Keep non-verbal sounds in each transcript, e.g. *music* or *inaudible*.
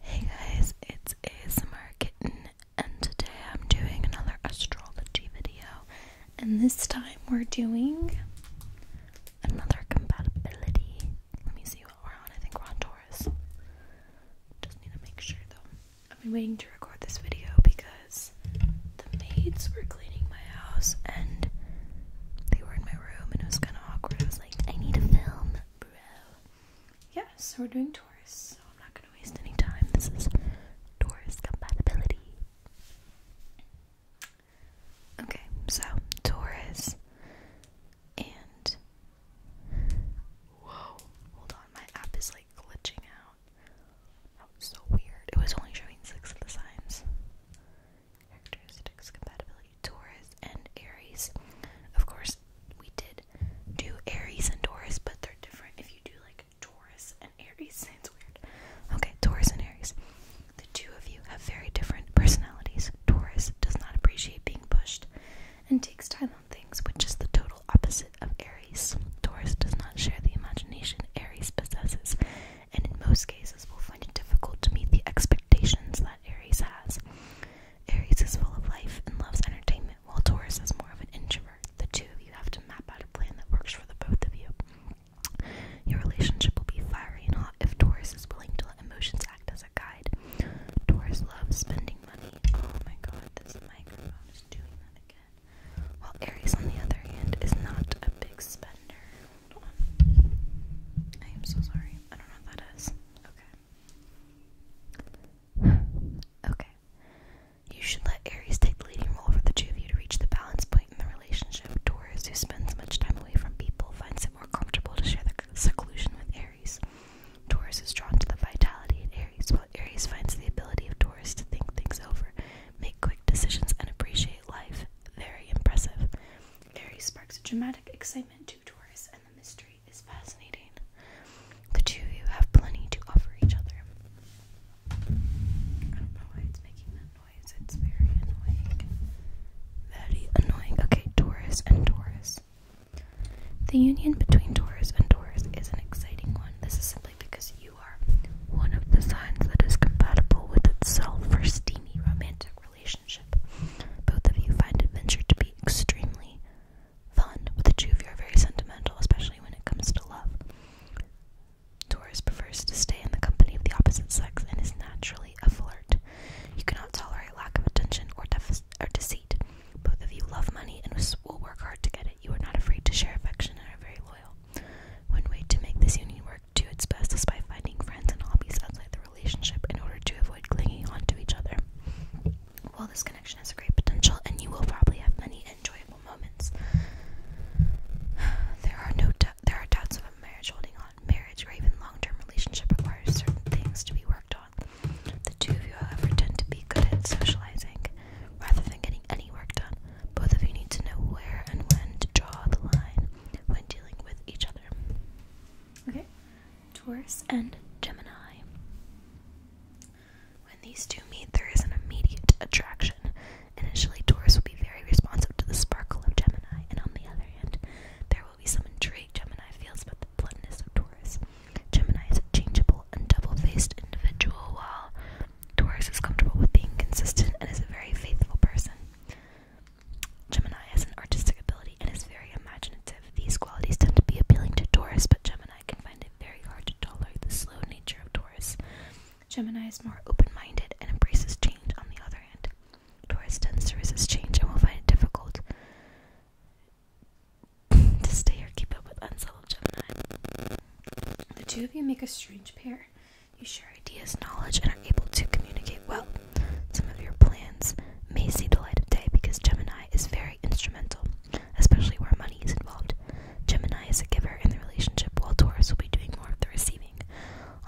Hey guys, it's ASMR Kitten, and today I'm doing another astrology video. And this time we're doing another compatibility. Let me see what we're on. I think we're on Taurus. Just need to make sure though. I've been waiting to record this video because the maids were cleaning my house and they were in my room, and it was kind of awkward. I was like, I need to film bro. Yeah, so we're doing Taurus, so I'm not gonna waste any time. This is Taurus compatibility. Okay, so Taurus and whoa, hold on, my app is like glitching out. so weird. It was only showing six of the signs characteristics, compatibility, Taurus and Aries. Of course, we did do Aries and Taurus, but they're different. If you do like Taurus and Aries, sounds *laughs* weird. Okay, Taurus and Aries. The two of you have very different personalities. Taurus does not appreciate being pushed and takes time on things, which is the total opposite of Aries. Taurus does not share the imagination Aries possesses, and in most cases will find it difficult to meet the expectations that that Aries has. Aries is full of life and loves entertainment, while Taurus is more of an introvert. The two of you have to map out a plan that works for the both of you. Your relationship will be fiery and hot if Taurus is willing to let emotions act as a guide. Taurus loves spending money. Oh my god, this microphone is doing that again. While Aries, on the other hand, is not a big spender. I am so sorry. I don't know what that is. Okay. *sighs* okay. You should let Aries take the leading role for the two of you to reach the balance point in the relationship. Taurus, who spends much time away from people, finds it more comfortable to share the seclusion with Aries. Taurus is drawn to the vitality in Aries, while Aries finds the ability of Taurus to think things over, make quick decisions, and appreciate life very impressive. Aries sparks dramatic excitement to Taurus, and the mystery is fascinating. The two of you have plenty to offer each other. I don't know why it's making that noise. It's very annoying. Very annoying. Okay, Taurus and Taurus. The union between Taurus and Taurus is an exciting one. This is simply because you are one of the signs that is compatible with itself for steamy romantic relationship. Both of you find adventure to be extremely fun, but the two of you are very sentimental, especially when it comes to love. Taurus prefers to stay in the company of the opposite sex and is naturally a flirt. You cannot tolerate lack of attention or, deficit or deceit. Both of you love money and will work hard to get it. You are not afraid to share affection and are very loyal. One way to make this union do its best despite finding friends and hobbies outside the relationship in order to avoid clinging on to each other. Well, this connection has a great potential, and you will probably have many enjoyable moments. *sighs* There are no there are doubts about marriage holding on. Marriage or even long-term relationship requires certain things to be worked on. The two of you, however, tend to be good at socializing rather than getting any work done. Both of you need to know where and when to draw the line when dealing with each other. Okay, Taurus and Gemini. When these two meet, there is an immediate attraction. Initially, Taurus will be very responsive to the sparkle of Gemini, and on the other hand, there will be some intrigue Gemini feels about the bluntness of Taurus. Gemini is a changeable and double faced individual, while Taurus is comfortable with being consistent and is a very faithful person. Gemini has an artistic ability and is very imaginative. These qualities tend to be appealing to Taurus, but Gemini can find it very hard to tolerate the slow nature of Taurus. Gemini is more open minded and embraces change on the other hand. Taurus tends to resist change and will find it difficult *laughs* to stay or keep up with unsettled Gemini. The two of you make a strange pair. You share ideas, knowledge, and are able to communicate well. Some of your plans may see the light of day because Gemini is very instrumental, especially where money is involved. Gemini is a giver in the relationship, while Taurus will be doing more of the receiving.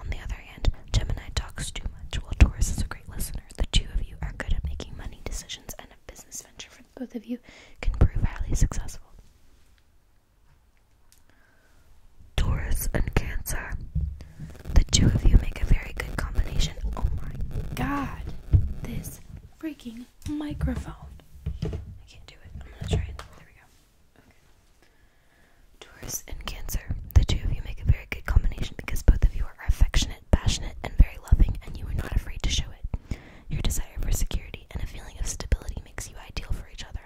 On the other hand, Gemini talks too much, while Taurus is a great listener. The two of you are good at making money decisions, and a business venture for both of you can prove highly successful. Taurus and Cancer. The two of you make a very good combination. Oh my god. This freaking microphone. I can't do it. I'm gonna try it. There we go. Okay. Taurus and Cancer. The two of you make a very good combination because both of you are affectionate, passionate, and very loving, and you are not afraid to show it. Your desire for security and a feeling of stability makes you ideal for each other.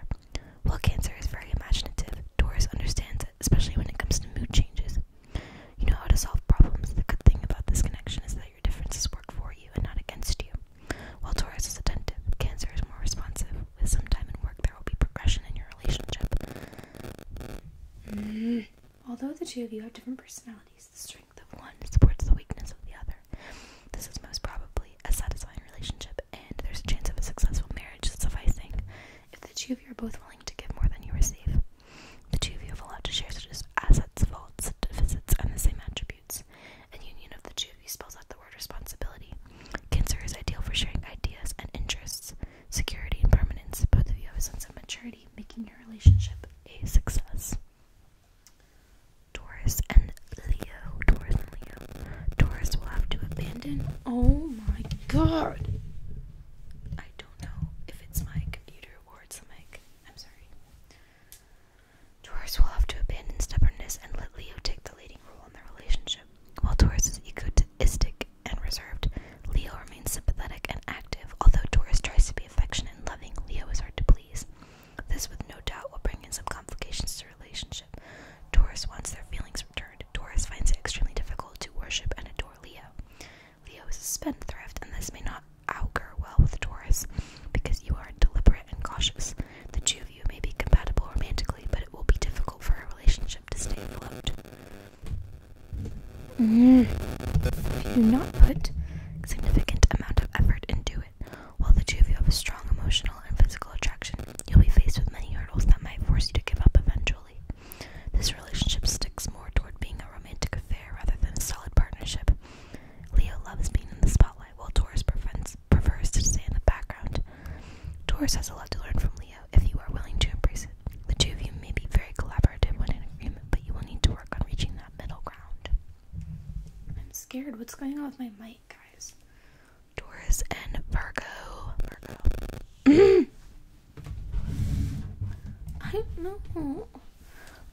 While Cancer is very imaginative, Taurus understands it, especially when it comes to mood changes. You know how to solve problems. The good thing about this connection is that your differences work for you and not against you. While Taurus is attentive, Cancer is more responsive. With some time and work, there will be progression in your relationship. Mm-hmm. Although the two of you have different personalities, the strength of one supports the weakness of the other. This is most probably a satisfying relationship and there's a chance of a successful marriage sufficing if the two of you are both willing to give more than you receive. The two of you have allowed to share such as assets, faults, deficits, and the same attributes. A union of the two of spells out the word responsibility. Cancer is ideal for sharing ideas and interests, security and permanence. Both of you have a sense of maturity, making your relationship a success. Taurus and Leo, Taurus Leo. Taurus will have to abandon. Oh my god! I don't know if it's my computer or it's the mic. I'm sorry. Taurus will have to abandon stubbornness and let Leo take the leading role in their relationship. While Taurus is egotistic and reserved, Leo remains sympathetic and active. Although Taurus tries to be affectionate and loving, Leo is hard to please. This, with no doubt, will bring in some complications to relationship. Taurus wants their feelings returned. Taurus finds it extremely difficult to worship and adore Leo. Leo is a spendthrift, and this may not augur well with Taurus because you are deliberate and cautious. The two of you may be compatible romantically, but it will be difficult for a relationship to stay afloat. Mm. If you do not put significant amount of effort into it. While the two of you have a strong emotional and physical attraction, you'll be faced with many hurdles that might force you to give up eventually. This relationship sticks more toward being a romantic affair rather than a solid partnership. Leo loves being in the spotlight, while Taurus prefers to stay in the background. Taurus has a lot to learn from Leo if you are willing to embrace it. The two of you may be very collaborative when in agreement, but you will need to work on reaching that middle ground. I'm scared. What's going on with my mic? guys. Taurus and Virgo. *clears throat* I don't know.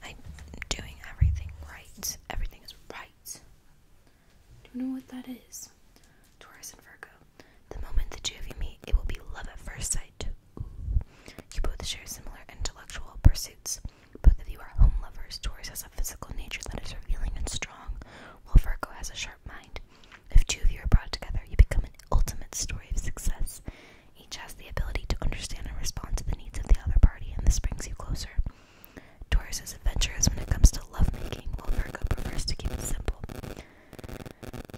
I'm doing everything right. Everything is right. Do you know what that is? Taurus and Virgo. The moment that two of you meet, it will be love at first sight. You both share similar intellectual pursuits, both of you are home lovers. Taurus has a physical nature that is revealing and strong, while Virgo has a sharp mind. If two of you are brought together, you become an ultimate story of success. Each has the ability to understand and respond to the needs of the other party, and this brings you closer. Taurus is adventurous when it comes to lovemaking, while Virgo prefers to keep it simple.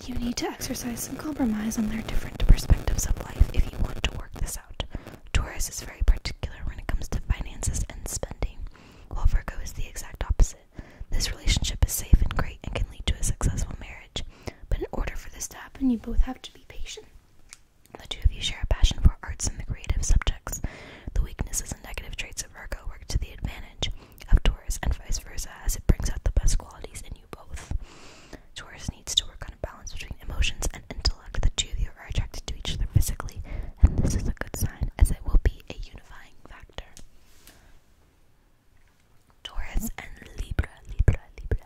You need to exercise some compromise on their different perspectives of life if you want to work this out this Taurus is very particular when it comes to finances and spending, while Virgo is the exact opposite. This relationship is safe and great and can lead to a successful marriage, but in order for this to happen, you both have to be patient. The two of you share a passion for arts and the creative subjects. The weaknesses and negative traits of Virgo work to the advantage of Taurus and vice versa, as it brings out the best qualities in you both. Taurus needs to work on a balance between emotions and intellect until the two of you are attracted to each other physically, and this is a good sign as it will be a unifying factor. Taurus and Libra, Libra, Libra.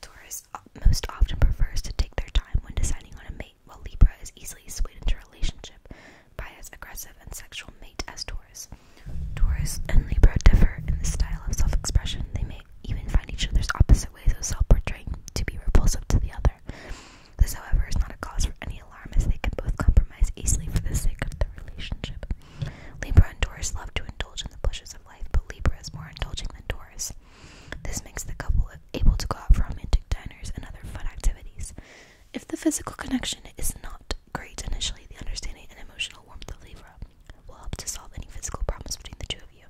Taurus most often prefers to take their time when deciding on a mate, while Libra is easily swayed into a relationship by as aggressive and sexual mate as Taurus. Taurus and Libra differ in the style of self expression. They may even find each other's opposite ways of self portraying to be repulsive to the other. This, however, is not a cause for any alarm as they can both compromise easily for the sake of the relationship. Libra and Taurus love to indulge in the pleasures of life, but Libra is more indulging than Taurus. This makes the couple able to go out for romantic dinners and other fun activities. If the physical connection is not great initially, the understanding and emotional warmth of Libra will help to solve any physical problems between the two of you.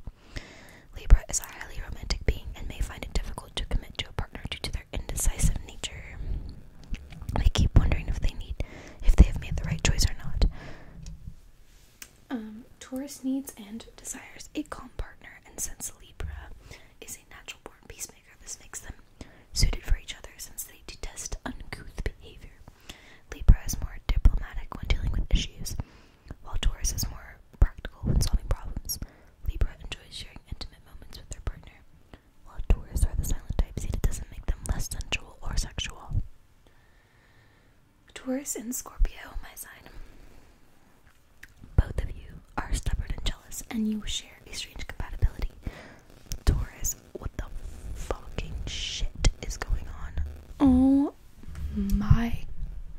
Libra is a highly romantic being and may find it difficult to commit to a partner due to their indecisive nature. They keep wondering if they need if they have made the right choice or not. Um, Taurus needs and desires a calm partner, and since Libra is a natural born peacemaker, this makes them suited for each other since they detest uncouth behavior. Libra is more diplomatic when dealing with issues, while Taurus is more practical when solving problems, Libra enjoys sharing intimate moments with their partner. While Taurus are the silent types, it doesn't make them less sensual or sexual. Taurus and Scorpio, my side. Both of you are stubborn and jealous, and you share a strange compatibility. Taurus, what the fucking shit is going on? Oh my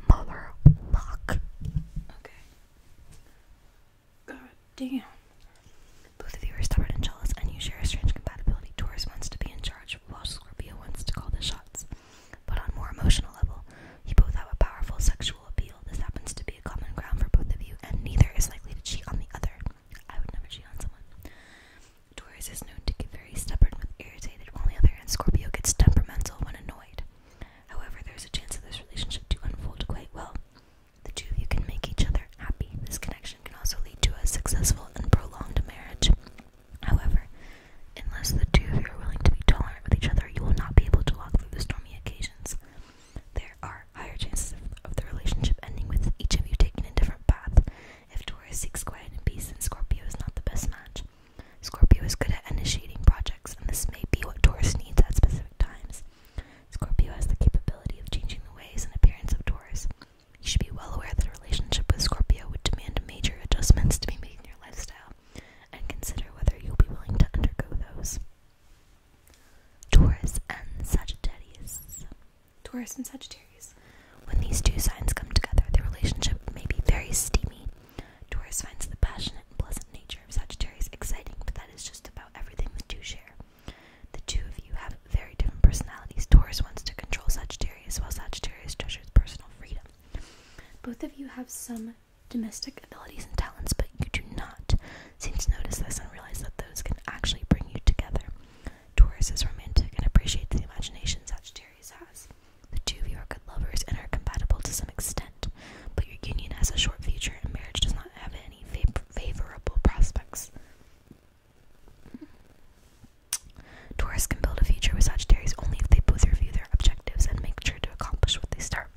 mother Okay. God damn. Both of you are stubborn and jealous, and you share a strange compatibility. Taurus wants to be in charge, while Scorpio wants to call the shots. But on a more emotional level, you both have a powerful sexual appeal. This happens to be a common ground for both of you, and neither is likely to cheat on the other. I would never cheat on someone. Taurus is known to get very stubborn irritated, while on the other hand, Scorpio gets temperamental when annoyed. However, there's a chance for this relationship to unfold quite well. The two of you can make each other happy. This connection can also lead to a successful and prolonged marriage. However, unless the two of you are willing to be tolerant with each other, you will not be able to walk through the stormy occasions. There are higher chances of, the relationship ending with each of you taking a different path. If Taurus seeks quiet and peace, then Scorpio is not the best match. Scorpio is good at initiating projects, and this may be what Taurus needs at specific times. Scorpio has the capability of changing the ways and appearance of Taurus. You should be well aware that a relationship with Scorpio would demand major adjustments to be made in your lifestyle, and consider whether you'll be willing to undergo those. Taurus and Sagittarius. Taurus and Sagittarius. When these two signs come together, the relationship may be very steamy. Taurus finds the passionate and pleasant nature of Sagittarius exciting, but that is just about everything the two share. The two of you have very different personalities. Taurus wants to control Sagittarius, while Sagittarius treasures personal freedom. Both of you have some domestic abilities and talents, but you do not seem to notice this and realize that those can actually bring you together. Taurus is romantic and appreciates the imagination Sagittarius has. The two of you are good lovers and are compatible to some extent, but your union has a short future and marriage does not have any favorable prospects. Taurus can build a future with Sagittarius only if they both review their objectives and make sure to accomplish what they start.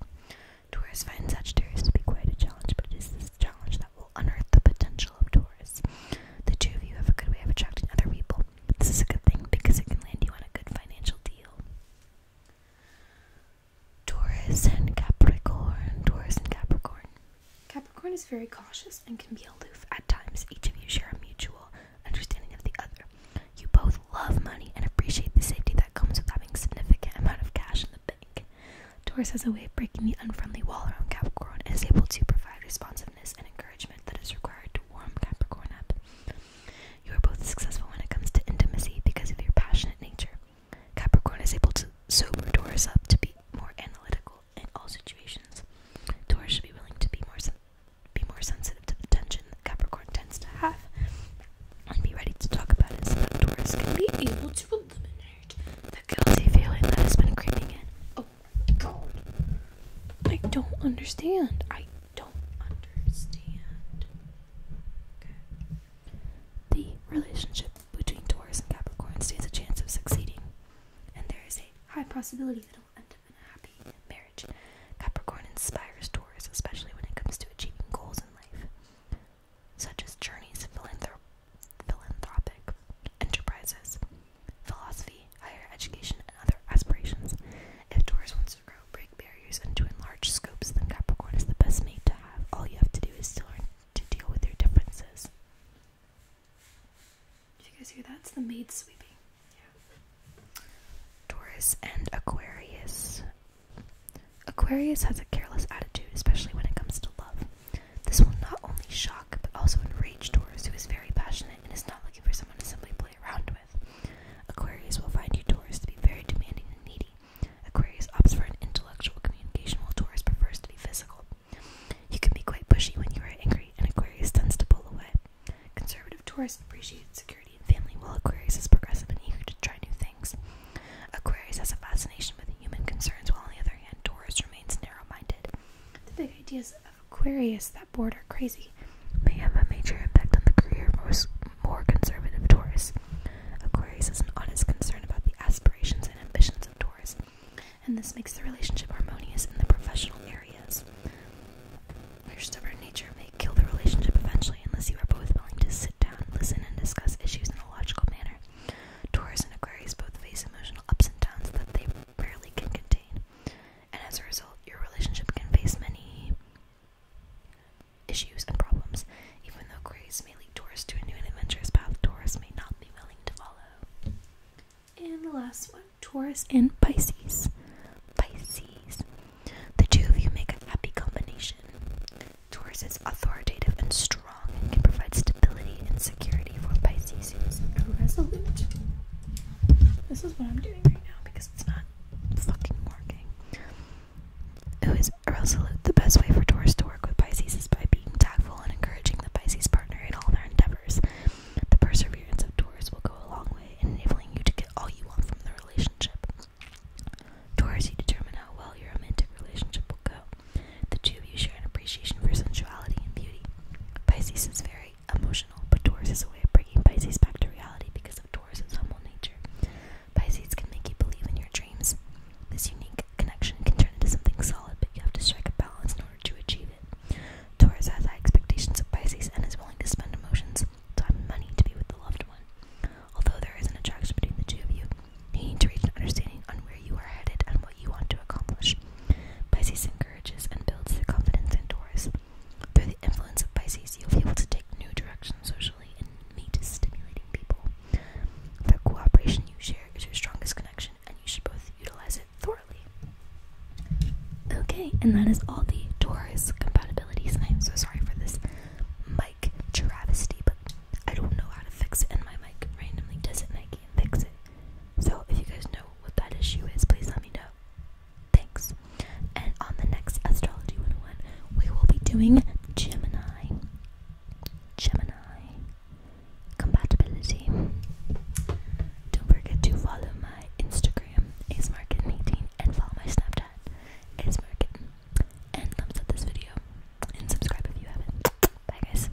Taurus finds Sagittarius to be quite a challenge, but it is this challenge that will unearth the potential of Taurus. The two of you have a good way of attracting other people. This is a good thing because it can land you on a good financial deal. Taurus and Capricorn. Taurus and Capricorn. Capricorn is very cautious and can be aloof at times. Each of you share a mutual understanding of the other. You both love money and appreciate the safety that comes with having a significant amount of cash in the bank. Taurus has a way of breaking the unfriendly wall around Capricorn and is able to provide responsive and encouragement that is required to warm Capricorn up. You are both successful when it comes to intimacy because of your passionate nature. Capricorn is able to sober Taurus up to be more analytical in all situations. Taurus should be willing to be more be more sensitive to the tension that Capricorn tends to have, and be ready to talk about it so that Taurus can be able to eliminate the guilty feeling that has been creeping in. Oh, I don't understand. I don't understand. The relationship between Taurus and Capricorn stands a chance of succeeding, and there is a high possibility that it will end up in a happy marriage. Capricorn inspires Taurus, especially when it comes to achieving goals in life, such as journeys, philanthrop philanthropic enterprises, philosophy, higher education, and other aspirations. If Doris wants to grow, break barriers, and to enlarge scopes, then Capricorn is the best mate to have. All you have to do is to learn to deal with your differences. Did you guys hear that? It's the maid sweeping. Doris and Aquarius. Aquarius has a careless attitude, especially when it comes to love. This will not only shock but also enrage Doris, who is very passionate and is not looking for someone to simply play around with. Aquarius will find you Taurus to be very demanding and needy. Aquarius opts for an intellectual communication while Taurus prefers to be physical. You can be quite pushy when you are angry, and Aquarius tends to pull away. Conservative Taurus appreciates security and family, while Aquarius is progressive and eager to try new things. Aquarius has a fascination with human concerns, while on the other hand, Taurus remains narrow minded. The big ideas Aquarius that board are crazy may have a major impact on the career of most more conservative Taurus. Aquarius is an honest concern about the aspirations and ambitions of Taurus, and this makes the relationship harmonious in the professional areas. Your stubborn nature may kill the relationship eventually unless you are both willing to sit down, listen, and discuss issues in a logical manner. Taurus and Aquarius both face emotional ups and downs that they rarely can contain and as a result, your relationship can face many issues and problems. Even though grace may lead Taurus to a new and adventurous path, Taurus may not be willing to follow. And the last one Taurus and Pisces. Pisces. The two of you make a happy combination. Taurus is authoritative and strong and can provide stability and security for Pisces. He oh, This is what I'm doing right now because it's not fucking working. Who is irresolute? The best way for Taurus to work with Pisces is by being tactful and encouraging the Pisces partner in all their endeavors. The perseverance of Taurus will go a long way in enabling you to get all you want from the relationship. Taurus, you determine how well your romantic relationship will go. The two of you share an appreciation for sensuality and beauty. Pisces is very emotional, but Taurus is a way of bringing Pisces back to reality because of Taurus's humble nature. Pisces can make you believe in your dreams. This unique connection can turn into something solid, but you have to strike a balance in order to achieve it. Taurus has high expectations of Pisces and is willing to spend emotions, time, money to be with the loved one. Although there is an attraction between the two of you, you need to reach an understanding on where you are headed and you want to accomplish. Pisces encourages and builds the confidence in Taurus. Through the influence of Pisces, you'll be able to take new directions socially and meet stimulating people. The cooperation you share is your strongest connection, and you should both utilize it thoroughly. Okay, and that is all the Taurus compatibilities, and I'm so sorry for this mic travesty, but I don't know how to fix it, and my mic randomly does it, and I can't fix it. So if you guys know what that issue is, please let me know. Thanks. And on the next Astrology 101, we will be doing Gemini. Gemini. Compatibility. Don't forget to follow my Instagram, AceMarket18, and follow my Snapchat, AceMarket. And thumbs up this video. And subscribe if you haven't. Bye guys.